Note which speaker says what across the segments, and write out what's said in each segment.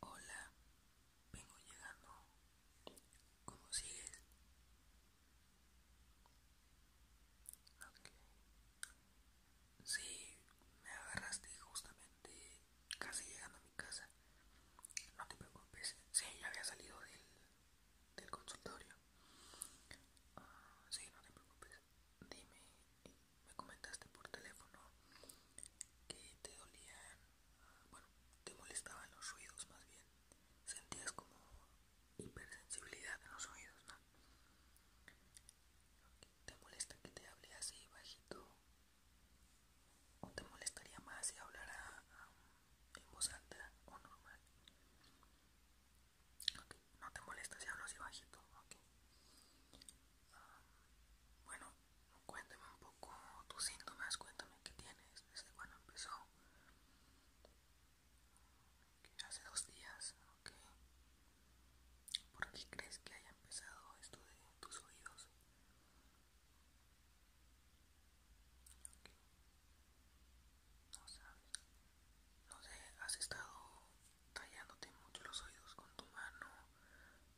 Speaker 1: Hola, vengo llegando. ¿Cómo sigues? Okay. Sí, me agarraste justamente casi llegando a mi casa. No te preocupes. Sí, ya había salido del, consultorio. Ah, sí, no te preocupes dime, me comentaste por teléfono que te dolían, bueno, te molestaban los ruidos más bien, sentías como hipersensibilidad en los oídos, ¿no? ¿Te molesta que te hable así bajito? ¿O te molestaría más si hablara um, en voz alta o normal? No te molesta si hablo así bajito, ok. Ah, bueno, cuéntame un poco tus síntomas, cuéntame qué tienes, desde cuando empezó. hace dos días, ok. ¿Por qué crees que haya empezado esto de tus oídos? No sabes. No sé, has estado tallándote mucho los oídos con tu mano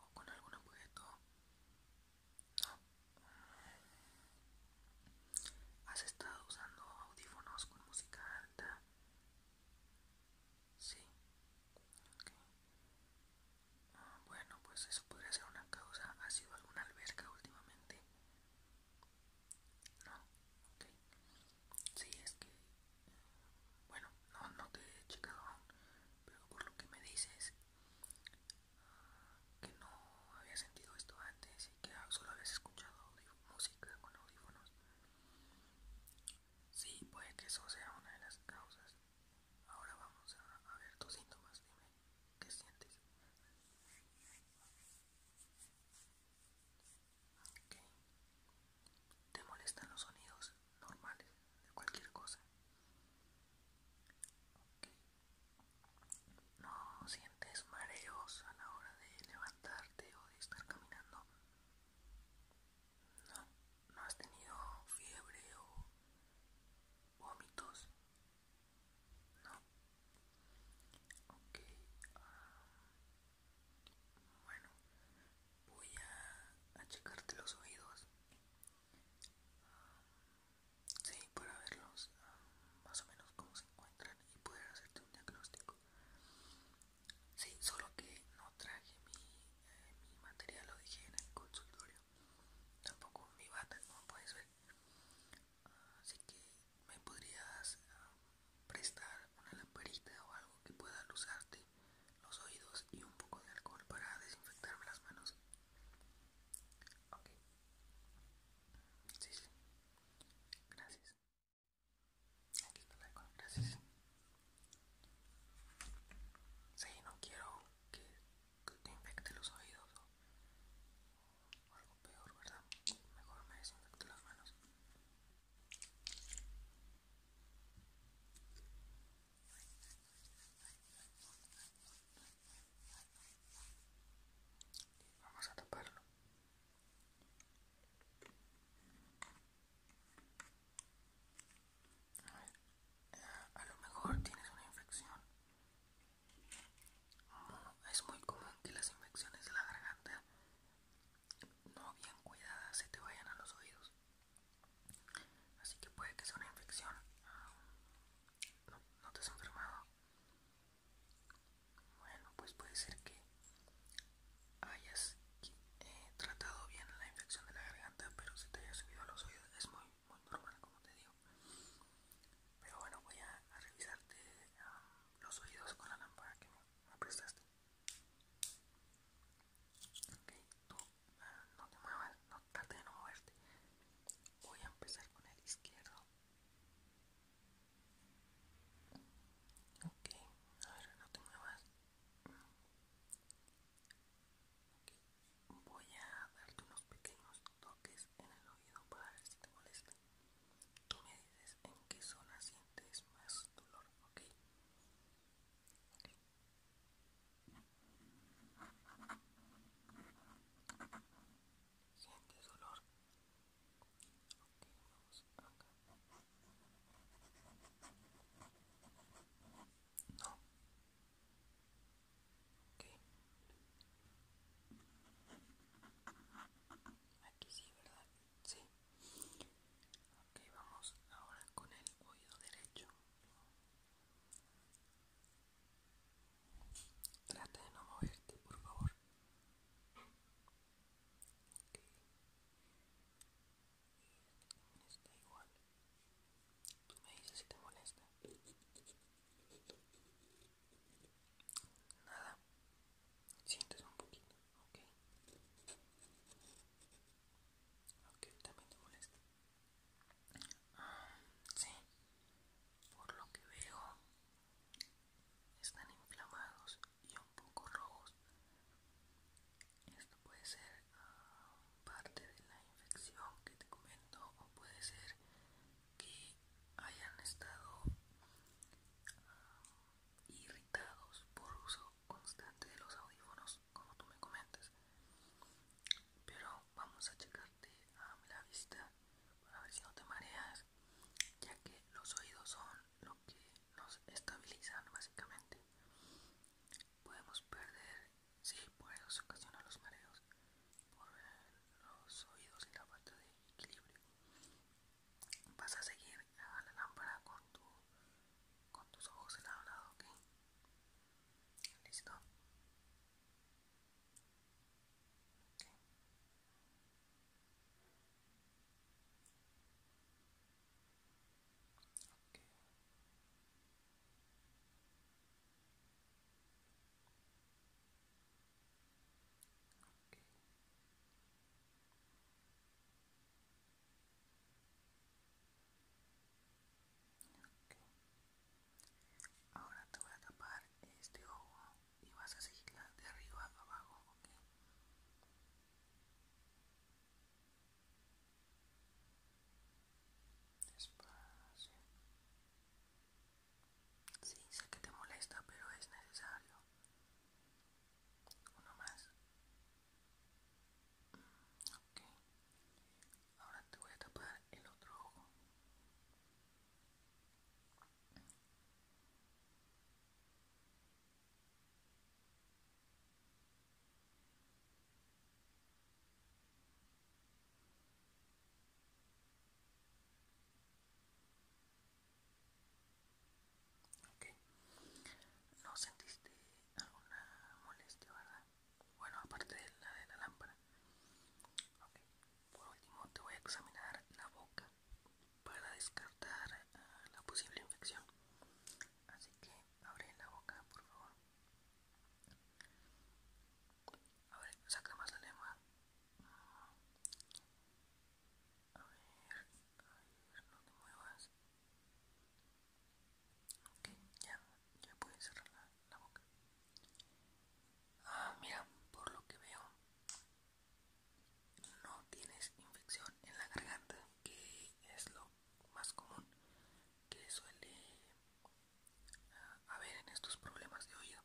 Speaker 1: o con algún objeto. ¿Has estado usando audífonos con música alta? Sí. bueno, pues eso podría ser una causa. ¿Ha sido alguna alberca últimamente? No. Sí, es que, bueno, no, no te he checado aún, pero por lo que me dices, ah, que no había sentido esto antes y que solo habías escuchado música con audífonos. Sí, puede que eso sea una de las causas. Ahora vamos a, a ver tus síntomas, dime qué sientes. ¿Te molestan los sonidos normales de cualquier cosa? ¿No sientes mareos a la hora de levantarte o de estar caminando? No, no has tenido fiebre o vómitos. No. Ok. Bueno, voy a, checarte los oídos. Um, sí, para verlos um, más o menos cómo se encuentran y poder hacerte un diagnóstico. Sí, solo que no traje mi, eh, mi material, lo dije en el consultorio. Tampoco mi bata, como puedes ver. Ah, así que me podrías um, prestar una lamparita o algo que pueda luzarte los oídos y un poco de alcohol para desinfectarme las manos. Ok. Sí, sí. Gracias. Aquí está el alcohol. Gracias. Sí, no quiero que, te infecte los oídos o algo peor, ¿verdad? Mejor me desinfecto las manos. Vamos a taparlo. A lo mejor tienes una infección. Es muy común que las infecciones de la garganta no bien cuidada se te vayan a los oídos. Así que puede que sea una infección. Ah, no, te has enfermado. Bueno, pues puede ser que hayas eh, tratado bien la infección de la garganta, pero se te haya subido a los oídos. Es muy, muy normal, como te digo. Pero bueno, voy a, revisarte. Ah, los oídos con la lámpara que me prestaste. Ok, tú ah, no te muevas, no trate de no moverte. Voy a empezar con el izquierdo. Ok, a ver, no te muevas. Voy a darte unos pequeños toques en el oído para ver si te molesta. Tú me dices en qué zona sientes más dolor, ¿ok? okay. ¿Sientes dolor? Ok, vamos acá. No. Ok. Aquí sí, ¿verdad? Sí. Ok, vamos ahora con el oído derecho. Trata de no moverte, por favor. Ok. Y este también está igual. Tú me dices si te molesta. Nada. Sientes un poquito, ok. Ok, también te molesta. Ah, sí. Por lo que veo, están inflamados y un poco rojos. Esto puede ser ah, parte de la infección que te comento o puede ser que hayan estado ah, irritados por uso constante de los audífonos, como tú me comentas. Pero vamos a checarte a la vista para ver si no te mareas, ya que los oídos son lo que nos estabilizan básicamente. Podemos perder, sí, por eso se ocasionan los mareos, por los oídos y la parte de equilibrio. Vas a seguir a la lámpara con, con tus ojos en lado lado, ¿ok? Listo. Ahora te voy a tapar este ojo y vas a seguirla de arriba a abajo, ¿ok? Sí, sé que te molesta, pero es necesario. Uno más. Mm, ok. Ahora te voy a tapar el otro ojo. Ok. No sentiste alguna molestia, ¿verdad? Bueno, aparte de la de la lámpara. Ok. Por último, te voy a examinar la boca para descartar ah, la posible infección. Así que abre la boca, por favor. A ver, saca más la lengua. A ver, a ver, no te muevas. Ok, ya, ya puedes cerrar la, la boca. Ah, mira, por lo que veo, no tienes infección en la garganta, que es lo más común que suele a ver en estos problemas de oído.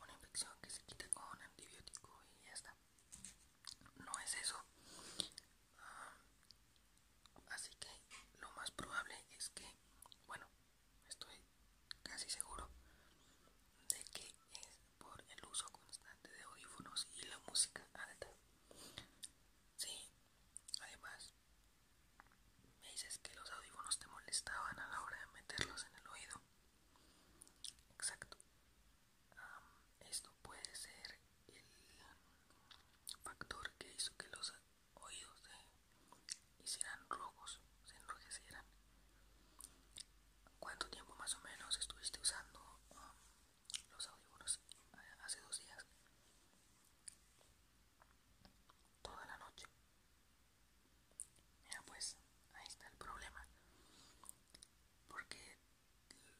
Speaker 1: Una infección que se quita con antibiótico y ya está. No es eso. Ah, así que lo más probable es que, bueno, estoy casi seguro de que es por el uso constante de audífonos y la música alta. Sí, Además, me dices que los audífonos te molestaban a la hora de meterlos en el oído. Exacto. esto puede ser el factor que hizo que los oídos se hicieran rojos, se enrojecieran. ¿Cuánto tiempo más o menos estuviste usando los audífonos eh, hace dos días? toda la noche. Mira pues, ahí está el problema. Porque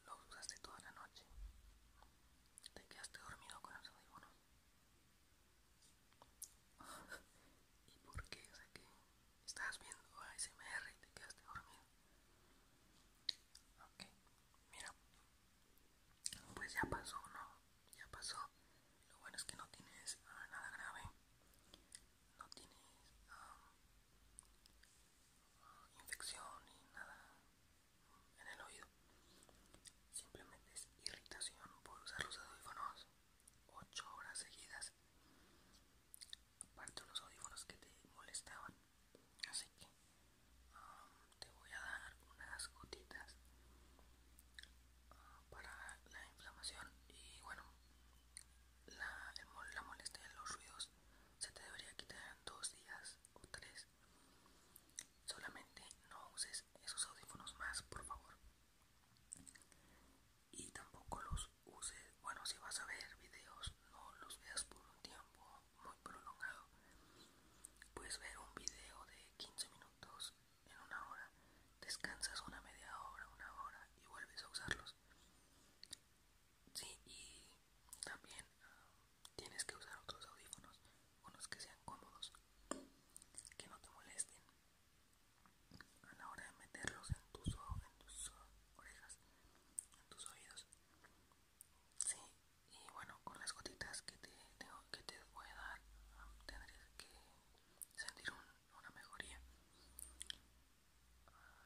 Speaker 1: lo usaste toda la noche. Te quedaste dormido con el audífonos. ¿Y por qué? O sea que estabas viendo ASMR y te quedaste dormido. Ok. Mira, pues ya pasó, ¿no? Ya pasó. Lo bueno es que no tienes ah, nada grave. No tienes ah, infección ni nada en el oído. Simplemente es irritación por usar los audífonos 8 horas seguidas. Aparte los audífonos que te molestaban así que um, te voy a dar unas gotitas uh, para la inflamación y bueno la, la molestia de los ruidos se te debería quitar en dos días o tres solamente no uses esos audífonos más por favor y tampoco los uses bueno si vas a ver videos no los veas por un tiempo muy prolongado puedes ver un video de 15 minutos en una hora descansas una media hora una hora y vuelves a usarlos sí y también ah, tienes que usar otros audífonos unos que sean cómodos que no te molesten a la hora de meterlos en tus, en tus ah, orejas en tus oídos Sí, y bueno, con las gotitas que te, tengo, que te voy a dar, tendrás que sentir una mejoría.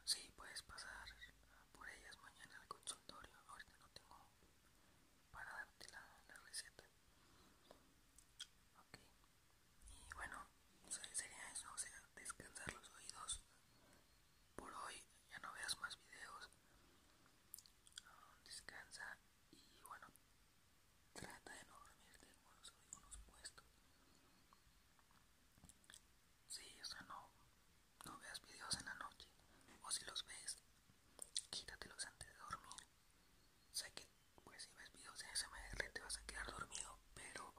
Speaker 1: Sí, puedes pasar por ellas mañana al consultorio. Ahorita no tengo para darte la, receta. Ok. Y bueno, sería eso, o sea, descansar los oídos por hoy, ya no veas más videos, descansa y bueno, trata de no dormirte con los unos puestos. Sí, o sea, no, no veas videos en la noche, o si los ves, quítatelos antes de dormir. Sé que, pues, si ves videos en SMR te vas a quedar dormido, pero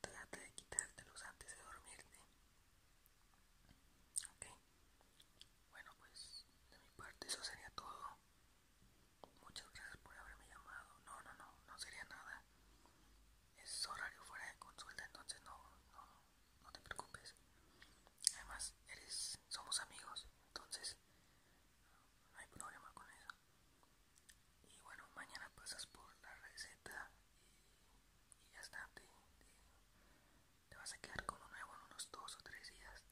Speaker 1: trata de quitártelos antes de dormirte. Ok, bueno pues de mi parte eso sería todo. Muchas gracias por haberme llamado. No, no, no, no sería nada. Es horario fuera de consulta, entonces no, no, no te preocupes. Además, eres, somos amigos, entonces no hay problema con eso y bueno mañana pasas por la receta y, ya está te, vas a quedar con lo nuevo en unos dos o tres días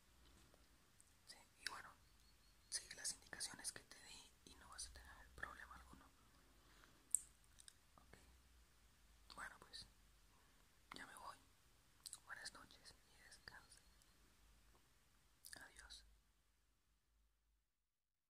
Speaker 1: y bueno sigue las indicaciones que te di y no vas a tener problema alguno bueno pues ya me voy buenas noches y descanse adiós